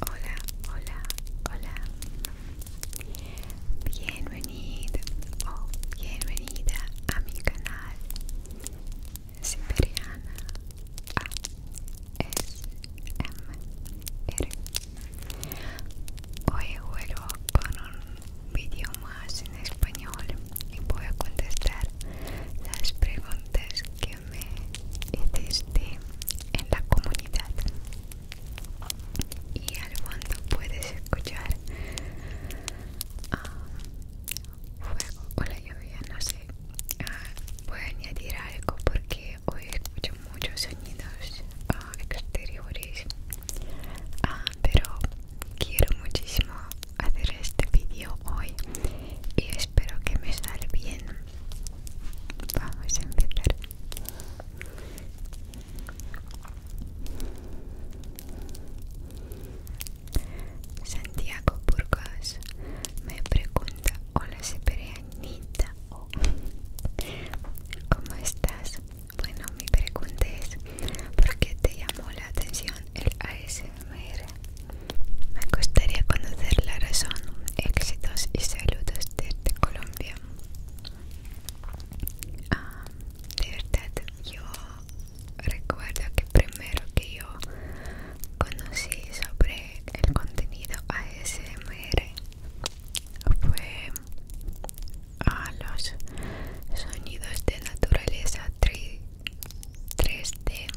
Hola, hola, hola. Bienvenida o oh, bienvenida a mi canal Siberiana ASMR. Hoy vuelvo con un video más en español y voy a contestar las preguntas que me este, en la comunidad y al fondo puedes escuchar ah, fuego o la lluvia no sé ah, voy a añadir algo porque hoy escucho muchos sonidos ah, exteriores pero quiero muchísimo hacer este vídeo hoy y espero que me salga bien Vamos a empezar. Santiago Burgos me pregunta, hola sepereanita o ¿cómo estás? Bueno, mi pregunta es, ¿por qué te llamó la atención el ASMR? Me gustaría conocer la razón, éxitos y saludos desde Colombia. Ah, de verdad, yo recuerdo que primero que yo conocí sobre el contenido ASMR fue a los sonidos de naturaleza 3, d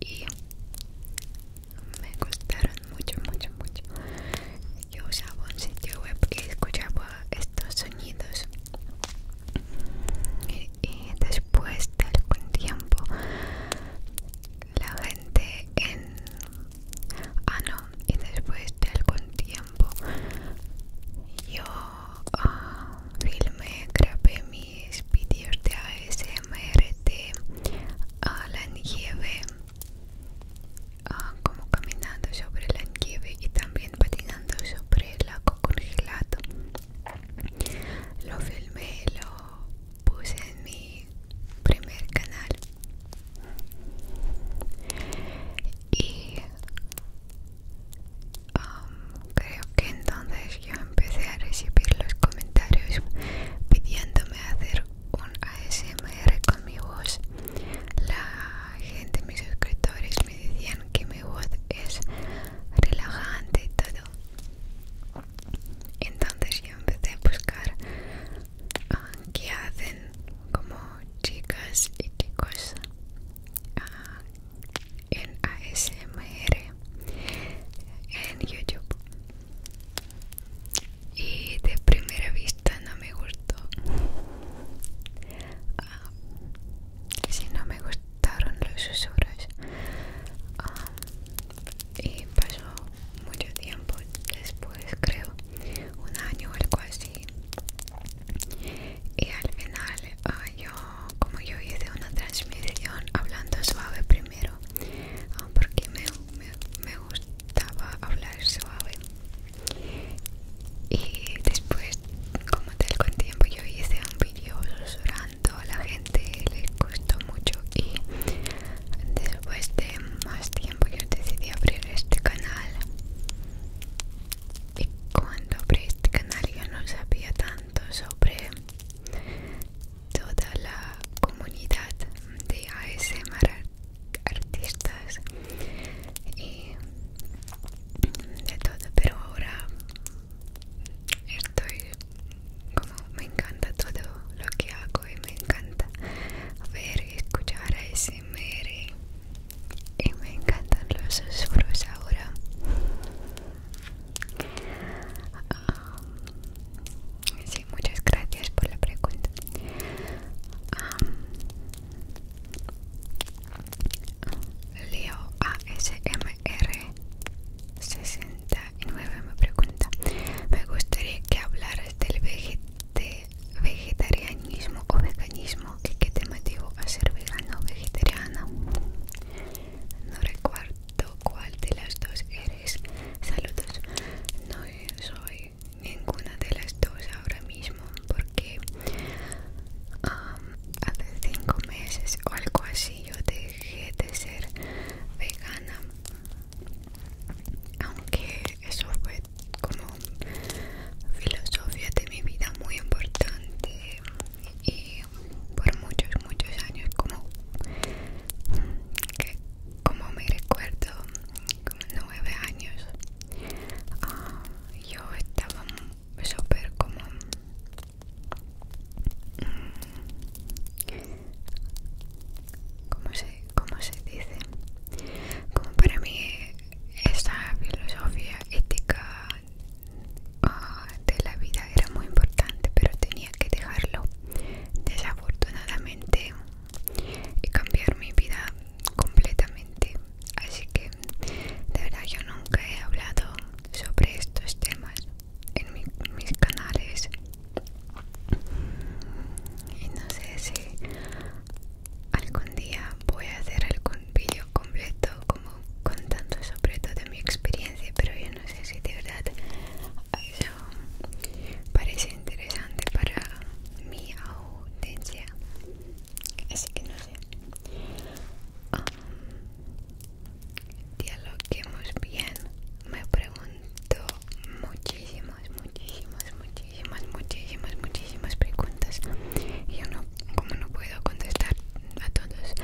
y me gustaron mucho mucho mucho yo usaba un sitio web y escuchaba estos sonidos y, después de algún tiempo la gente en ah no y después de algún tiempo yo ah, filmé grabé mis vídeos de ASMR me de a la nieve como caminando sobre la nieve y también patinando sobre el lago congelado lo filmé lo puse en mi primer canal y um, Creo que entonces yo empecé a recibir los comentarios pidiéndome hacer un ASMR con mi voz. La gente, mis suscriptores me decían que mi voz es relajante y todo. Entonces yo empecé a buscar ah, qué hacen como chicas y chicos ah, en ASMR en YouTube y de primera vista no me gustó ah, si no me gustaron los susurros ah, y pasó mucho tiempo después creo un año o algo así y al final ah, yo como yo hice una transmisión hablando suave primero Ah, porque me, me, gustaba hablar suave y después como tal con tiempo yo hice un vídeo susurrando a la gente les gustó mucho y después de más tiempo yo decidí abrir este canal y cuando abrí este canal yo no sabía tanto sobre toda la comunidad de ASMR artistas y de todo pero ahora estoy como me encanta todo lo que hago y me encanta ver y escuchar ASMR y me encantan los susurros ahora Um, muchas gracias por la pregunta. Um, Leo ASMR69 me pregunta, me gustaría que hablaras del vegetarianismo o veganismo ¿Qué te motivó a ser vegano o vegetariano No recuerdo cuál de las dos eres. Saludos. No soy ninguna de las dos ahora mismo porque hace cinco meses o algo así yo dejé de ser vegana. Aunque eso fue como filosofía de mi vida muy importante y por muchos, muchos años como que como me recuerdo, como nueve años, ah, yo estaba súper como mm, Como se, ¿Cómo se dice? Como para mí esta filosofía ética ah, de la vida era muy importante, pero tenía que dejarlo desafortunadamente y cambiar mi vida completamente así que de verdad yo nunca he hablado sobre estos temas en mis canales y no sé si algún día voy a hacer algún vídeo completo como contando sobre todo mi experiencia pero yo no sé si de verdad parece interesante para mi audiencia así que no sé um, bien me pregunto muchísimas muchísimas muchísimas muchísimas muchísimas preguntas y yo no como no puedo contestar a todos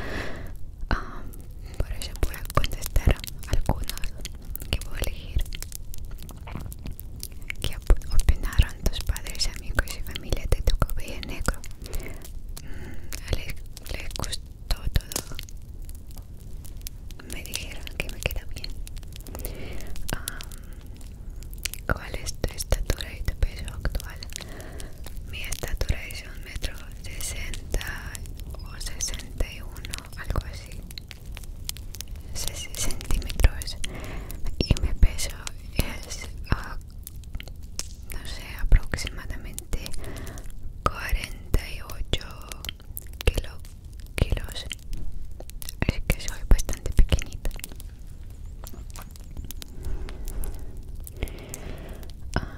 um, por eso voy a contestar algunos que voy a elegir que opinaron tus padres, amigos y familia de tu cabello negro mm, les, gustó todo me dijeron que me queda bien ¿Cuál es tu estatura y tu peso actual? Mi estatura es sesenta o sesenta y uno, algo así, centímetros y mi peso es, ah, no sé, aproximadamente 48 ocho kilos, es que soy bastante pequeñita. Ah,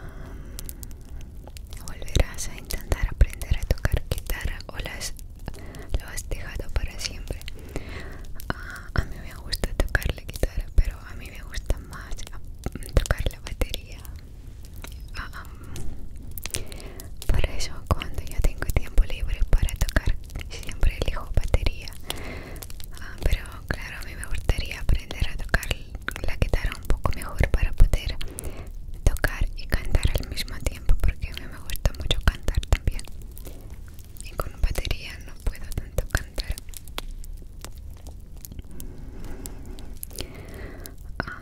Volverás a intentar aprender a tocar guitarra o las, lo has dejado para siempre. Ah, a mí me gusta tocar la guitarra, pero a mí me gusta más tocar la batería. Ah, ah. por eso cuando yo tengo tiempo libre para tocar, siempre elijo batería. pero claro, a mí me gustaría aprender a tocar la guitarra un poco mejor para poder tocar y cantar al mismo tiempo porque a mí me gusta mucho cantar también y con batería no puedo tanto cantar ah.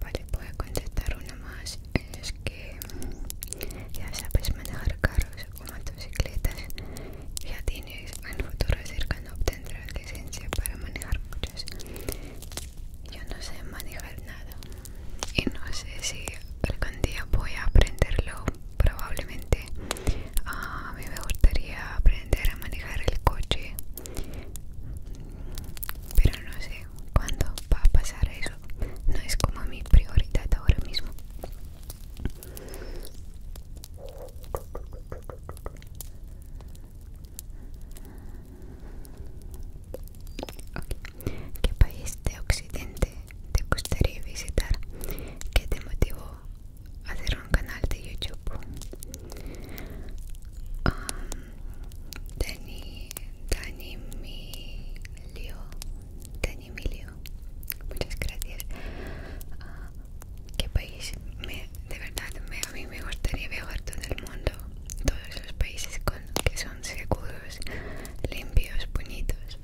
Vale, voy a contestar una más. Es que ya sabes manejar carros, o motocicletas, ya tienes en futuro cercano obtendrás licencia para manejar muchas. Yo no sé manejar nada y no sé si algún día voy a aprenderlo. Probablemente ah, a mí me gustaría aprender a manejar el coche, pero no sé cuándo va a pasar eso. No es como mi prioridad ahora mismo. ¿Qué país de Occidente te gustaría visitar? ¿Qué te motivó a hacer un canal de YouTube? Um, Dani, Dani Emilio, muchas gracias. Ah, ¿Qué país? de verdad, a mí me gustaría viajar todo el mundo, todos los países que son seguros, limpios, bonitos.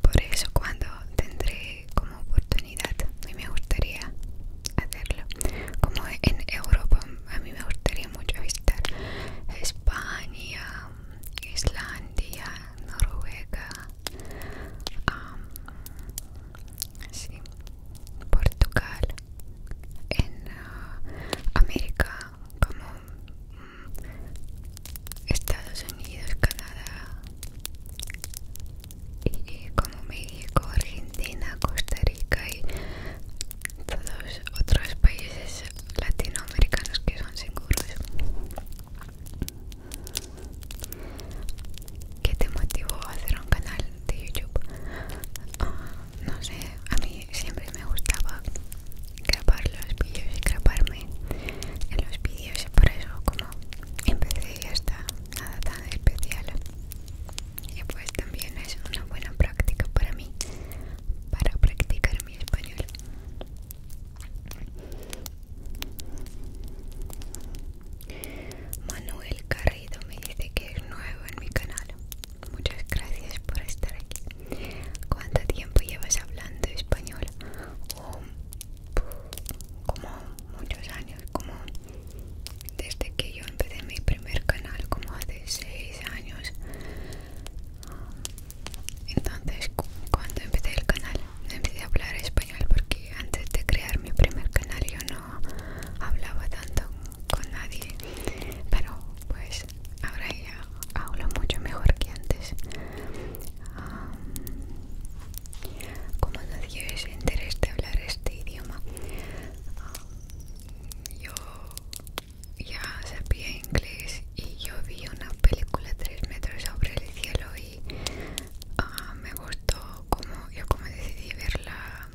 Por eso cuando tendré como oportunidad, a mí me gustaría hacerlo. Como en Europa, a mí me gustaría mucho visitar España, Islandia, Noruega, Portugal, en uh, América como mm, Estados Unidos, Canadá y, como México, Argentina, Costa Rica y todos otros países latinoamericanos que son seguros ¿Qué te motivó a hacer un canal de YouTube? Ah, no sé, a mí siempre me gustaba grabar los vídeos y grabarme en los vídeos y por eso como empecé hasta ya nada tan especial. Y pues también es una buena práctica para mí, para practicar mi español. Manuel Carrido me dice que es nuevo en mi canal. Muchas gracias por estar aquí. ¿Cuánto tiempo llevas hablando español? Oh, como muchos años, como desde que yo empecé mi primer canal, como hace 6 años. Entonces, cuando empecé el canal, empecé a hablar español porque antes de crear mi primer canal yo no hablaba tanto con nadie, pero pues ahora ya hablo mucho mejor que antes. como nadie no interés de hablar este idioma, yo ya sabía inglés y yo vi una película 3 metros sobre el cielo y ah, me gustó como yo como decidí verla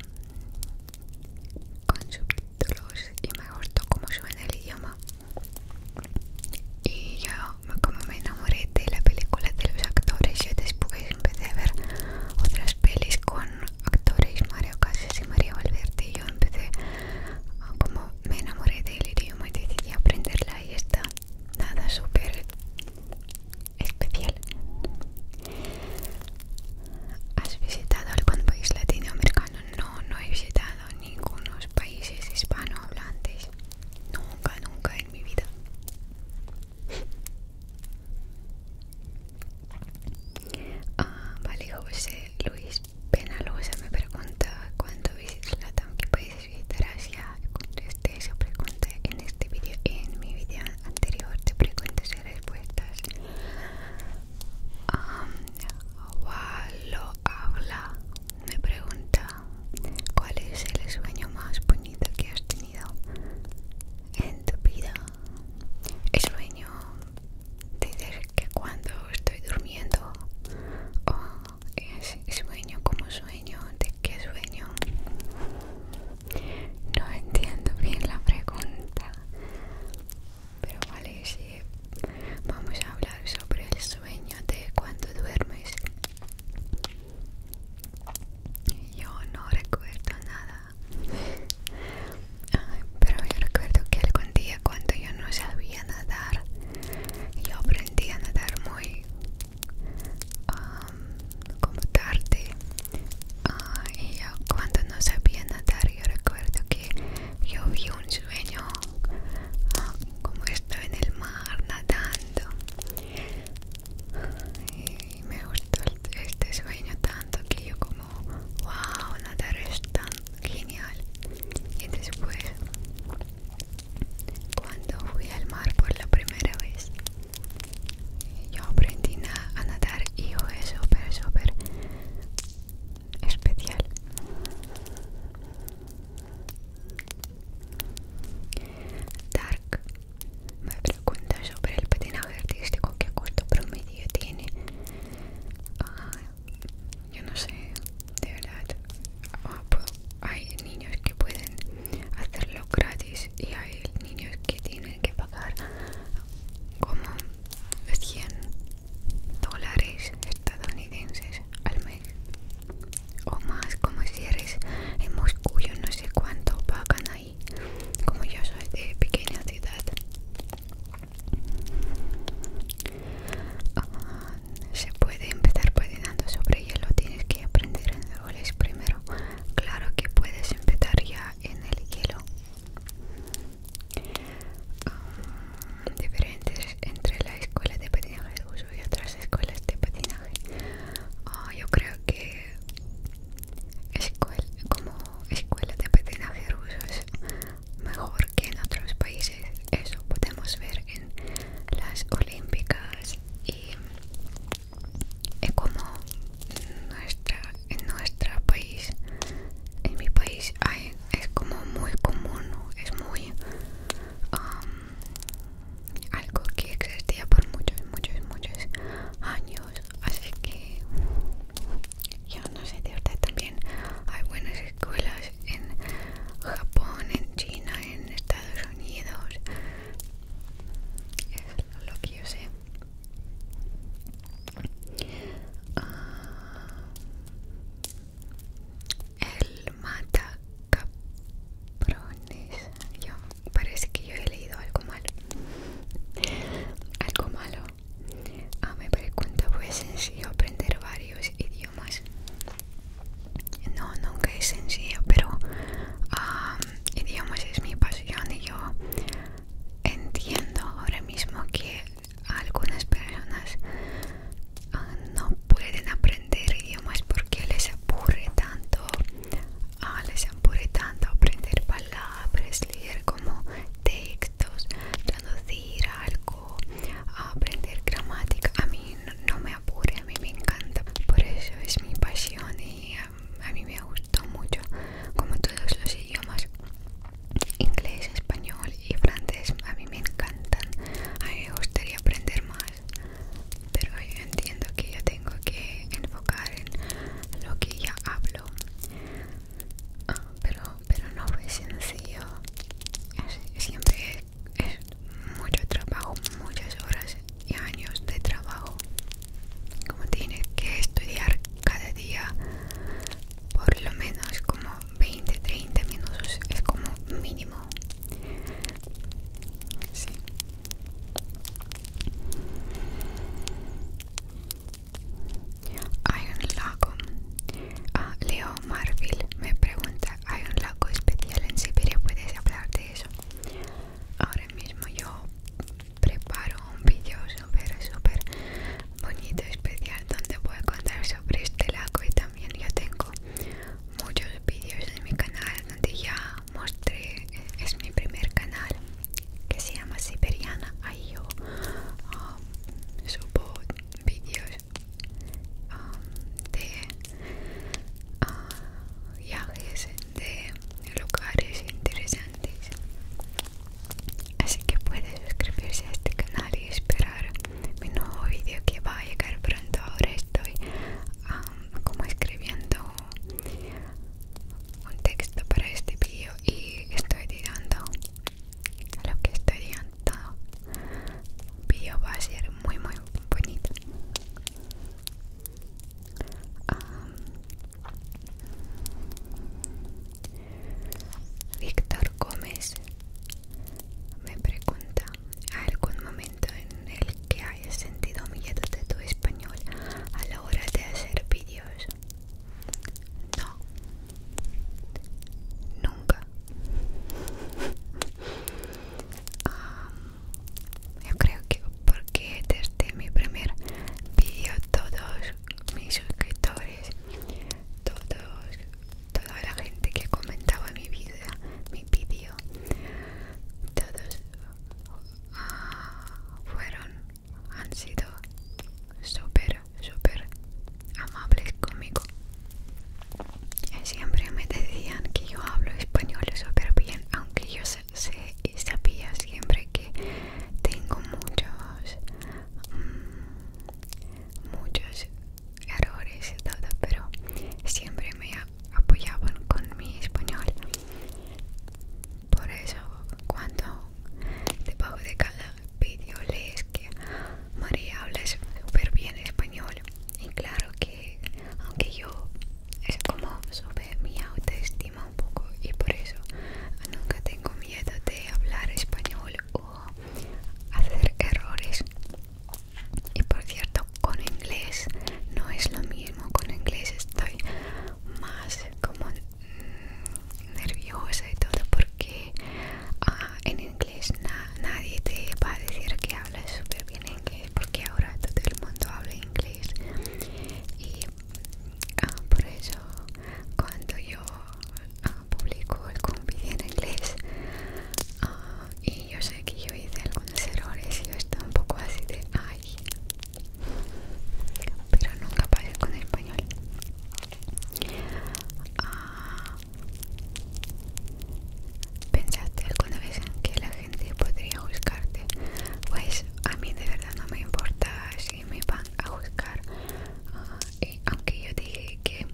con subtítulos y me gustó como suena el idioma y yo como me enamoré de la película de los actores y después empecé a ver otras pelis con actores Mario Casas y María Valverde y yo empecé como me enamoré del idioma y decidí aprenderla y está nada súper especial. ¿Has visitado algún país latinoamericano? No, no he visitado ningunos países hispanohablantes. Nunca, nunca en mi vida. Ah, vale, José Luis Penalosa me pregunta ¿Cuánto visitas Latam, que gracias ya contesté esa pregunta en este vídeo en mi vídeo anterior te preguntas y respuestas um, habla me pregunta cuál es el sueño más bonito que has tenido en tu vida el sueño de que cuando estoy durmiendo es sueño como sueño de qué sueño no entiendo bien la pregunta pero vale si vamos a hablar sobre el sueño de cuando duermes yo no recuerdo nada pero yo recuerdo que algún día cuando yo no sabía nadar yo aprendí a nadar muy como tarde ah, y yo cuando no sabía nadar yo recuerdo que yo vi un sueño ah, como estaba en el mar nadando y me gustó este sueño tanto que yo como wow nadar es tan genial y después cuando fui al mar por la primera vez, yo aprendí a nadar y fue súper, súper especial. Dark me pregunta sobre el patinaje artístico, qué corto promedio tiene. Ah, yo no sé, de verdad ah, pues, hay niños que pueden hacerlo gratis y hay niños que tienen que pagar como 100 dólares estadounidenses al mes o más como si eres en Moscú yo no sé cuánto pagan ahí como yo soy de pequeña ciudad ah, se puede empezar patinando sobre hielo tienes que aprender en árboles primero claro que puedes empezar ya en el hielo um, diferentes entre la escuela de patinaje ruso y otras escuelas de patinaje ah, yo creo que como escuela de patinaje ruso es mejor que en otros países eso podemos ver las Olímpicas y es como nuestra, en nuestro país, en mi país es como muy común, es muy algo que existía por muchos, muchos, muchos años, así que yo no sé de usted también hay buenas escuelas en Japón, en China, en Estados Unidos. Es lo que yo sé. Ah, el mata Yo, parece que yo he leído algo malo. Algo malo. Ah, me pregunta, pues sencillo aprender varios idiomas no nunca es sencillo pero idiomas es mi pasión y yo entiendo ahora mismo que algunas personas ah, no pueden aprender idiomas porque les aburre tanto ah, les aburre tanto aprender palabras leer como textos traducir algo aprender gramática a mí no me a mí me encanta. Por eso es mi pasión y um, a, mí me gustó mucho, como todos los idiomas. Inglés, español y francés a mí me encantan. A mí me gustaría aprender más. Pero yo entiendo que yo tengo que enfocar en lo que ya hablo. Ah, pero, pero no fue sencillo. Siempre es mucho trabajo, muchas horas y años de trabajo. Como tienes que estudiar cada día por lo menos como 20, 30 minutos, es como mínimo. Hay un lago. Ah, Leo Marville me pregunta hay un lago especial en Siberia, puedes hablar de eso. Ahora mismo yo preparo un vídeo súper, súper bonito, especial, donde voy a contar sobre este lago y también yo tengo muchos vídeos en mi canal donde ya mostré, es mi primer canal que se llama Siberiana, ahí yo ah, subo vídeos de ah, viajes, de lugares interesantes. Así que puedes suscribirse a este canal y esperar mi nuevo vídeo que va a llegar pronto. Ahora estoy ah, como escribiendo un texto para este vídeo y estoy a lo que estoy tirando vídeo va a ser muy muy bonito Víctor Gómez me pregunta algún momento en el que hayas sentido miedo de tu español a la hora de hacer vídeos no nunca um, yo creo que porque desde mi primer vídeo todos mis suscriptores, todos, toda la gente que comentaba mi vida, mi vídeo, todos ah, fueron, han sido súper, súper amables conmigo Siempre me decían que yo hablo español súper bien, aunque yo sé y sabía siempre que tengo muchos, mm, muchos errores pero siempre me apoyaban con mi español. Por eso, cuando debajo de cada vídeo les que María habla súper bien español, y claro que aunque yo es como sube mi autoestima un poco y por eso nunca tengo miedo de hablar español o hacer errores y por cierto con inglés no es lo mismo con inglés estoy más como nerviosa y todo porque ah, en inglés nadie te va a decir que hablas súper bien inglés porque ahora todo el mundo habla inglés y ah, por eso cuando yo ah, publico el vídeo en inglés ah, y yo sé que yo hice algunos errores y yo estaba un poco así de ay pero nunca pasa con el español ¿Pensaste alguna vez en que la gente podría buscarte Pues a mí de verdad no me importa si me van a juzgar. Ah, aunque yo dije que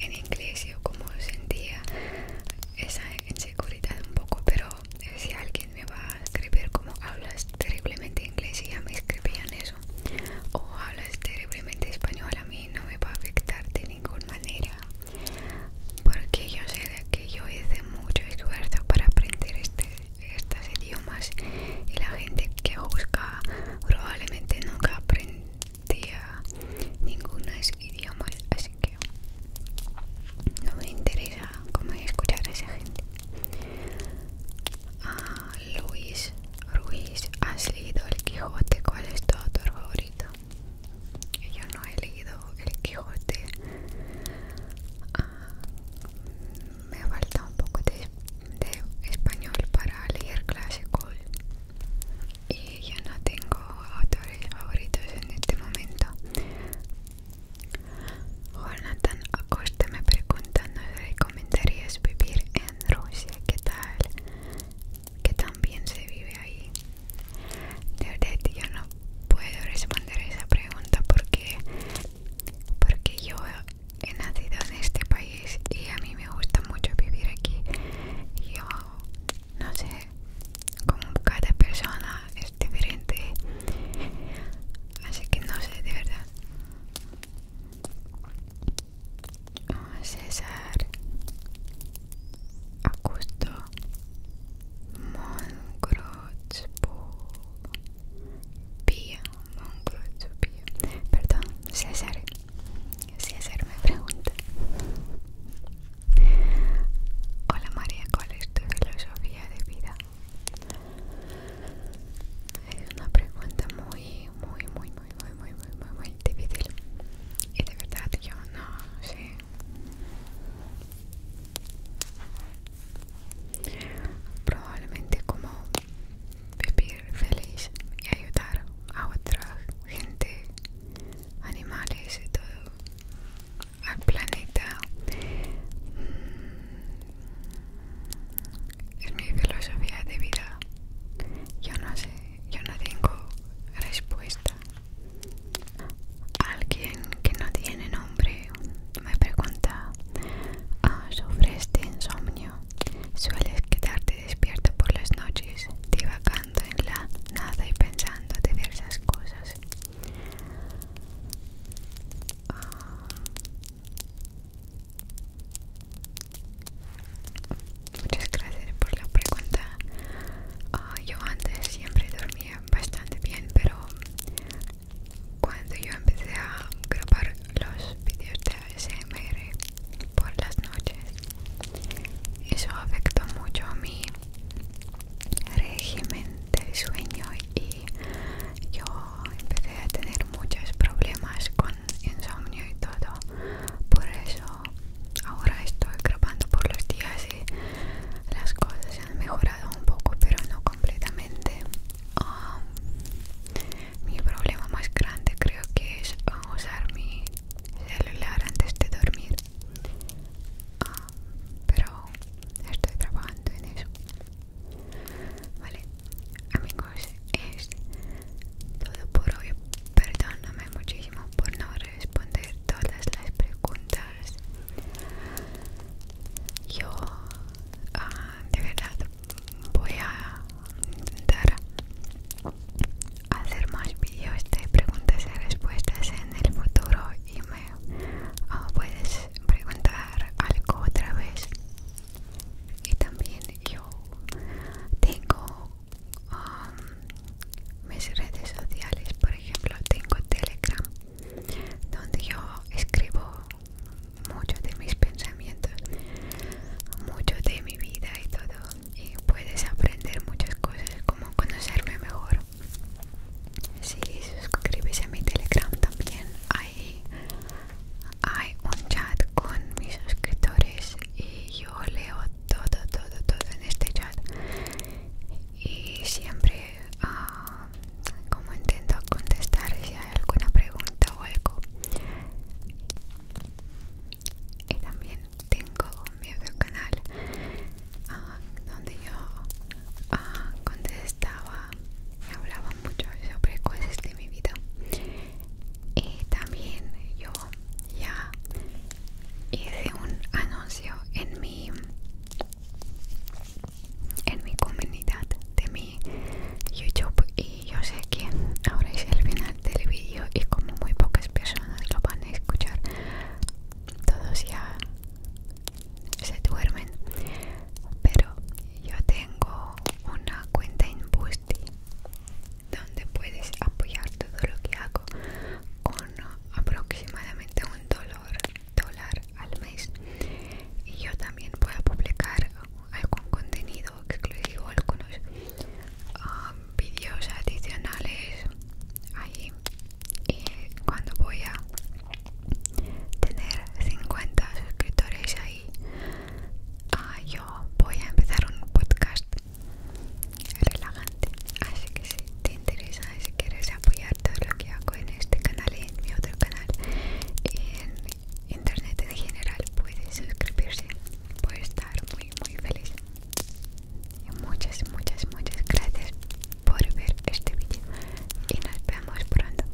en inglés yo como sentía esa inseguridad un poco, pero si alguien me va a escribir como hablas terriblemente inglés y ya me escribían eso, o hablas terriblemente español, a mí no me va a afectar de ninguna manera porque yo sé que yo hice mucho esfuerzo para aprender este, estos idiomas y la gente que busca probablemente nunca aprendía ningún idioma así que no me interesa cómo escuchar a esa gente Luis ah, Luis Ruiz, ¿has leído El Quijote? ¿Cuál es tu autor favorito? yo no he leído el Quijote ah, me falta un poco de, español para leer clásicos y yo no tengo autores favoritos en este momento Jonathan Acosta me pregunta ¿nos recomendarías vivir en Rusia? ¿qué tal? ¿Qué tan bien se vive ahí de verdad yo no puedo responder esa pregunta porque, porque yo he nacido en este país y a mí me gusta mucho vivir aquí. Yo no sé, como cada persona es diferente. Así que no sé, de verdad. César, a gusto Perdón, César César me pregunta Hola María, ¿cuál es tu filosofía de vida? Es una pregunta muy, muy, muy, muy, muy, muy, muy, muy, muy difícil. Y de verdad yo no sé probablemente como vivir feliz y ayudar a otra gente animales y todo al planeta mm. es mi filosofía de vida yo no sé yo no tengo respuesta Alguien que no tiene nombre me pregunta ah, ¿Sufres sobre insomnio. ¿Sueles quedarte despierto por las noches, divagando en la nada y pensando diversas cosas? Ah, muchas gracias por la pregunta. Ah, yo antes siempre dormía bastante bien pero cuando yo empecé a grabar los vídeos de ASMR por las noches eso afectó mucho mi régimen de sueño y yo empecé a tener muchos problemas con insomnio y todo por eso ahora estoy grabando por los días y las cosas han mejorado un poco pero no completamente mi problema más grande creo que es usar mi celular antes de dormir pero estoy trabajando en eso vale amigos es todo por hoy perdóname muchísimo por no responder todas las preguntas yo, ah, de verdad, voy a intentar hacer más vídeos de preguntas y respuestas en el futuro y me ah, puedes preguntar algo otra vez. Y también yo tengo um, mis redes sociales por ejemplo tengo telegram donde yo escribo muchos de mis pensamientos mucho de mi vida y todo y puedes aprender muchas cosas como conocerme mejor si suscribes a mi telegram también hay un chat con mis suscriptores y yo leo todo todo todo en este chat y siempre ah, como intento contestar si hay alguna pregunta o algo y también tengo mi otro canal ah, donde yo ah, contestaba y hablaba mucho sobre cosas de mi vida y también yo ya hice un anuncio en mi en mi comunidad de mi youtube y yo sé que ahora es el final del vídeo y como muy pocas personas lo van a escuchar todos ya se duermen pero yo tengo una cuenta en Boosty donde puedes apoyar todo lo que hago con aproximadamente un dólar, dólar al mes y yo también voy a publicar algún contenido exclusivo algunos um, vídeos adicionales ahí y cuando voy a tener 50 suscriptores ahí ah, yo voy a empezar un podcast relajante así que si te interesa y si quieres apoyar todo lo que hago en este canal y en mi otro canal y en internet en general puedes suscribirse voy a estar muy muy feliz y muchas muchas muchas gracias por ver este vídeo y nos vemos pronto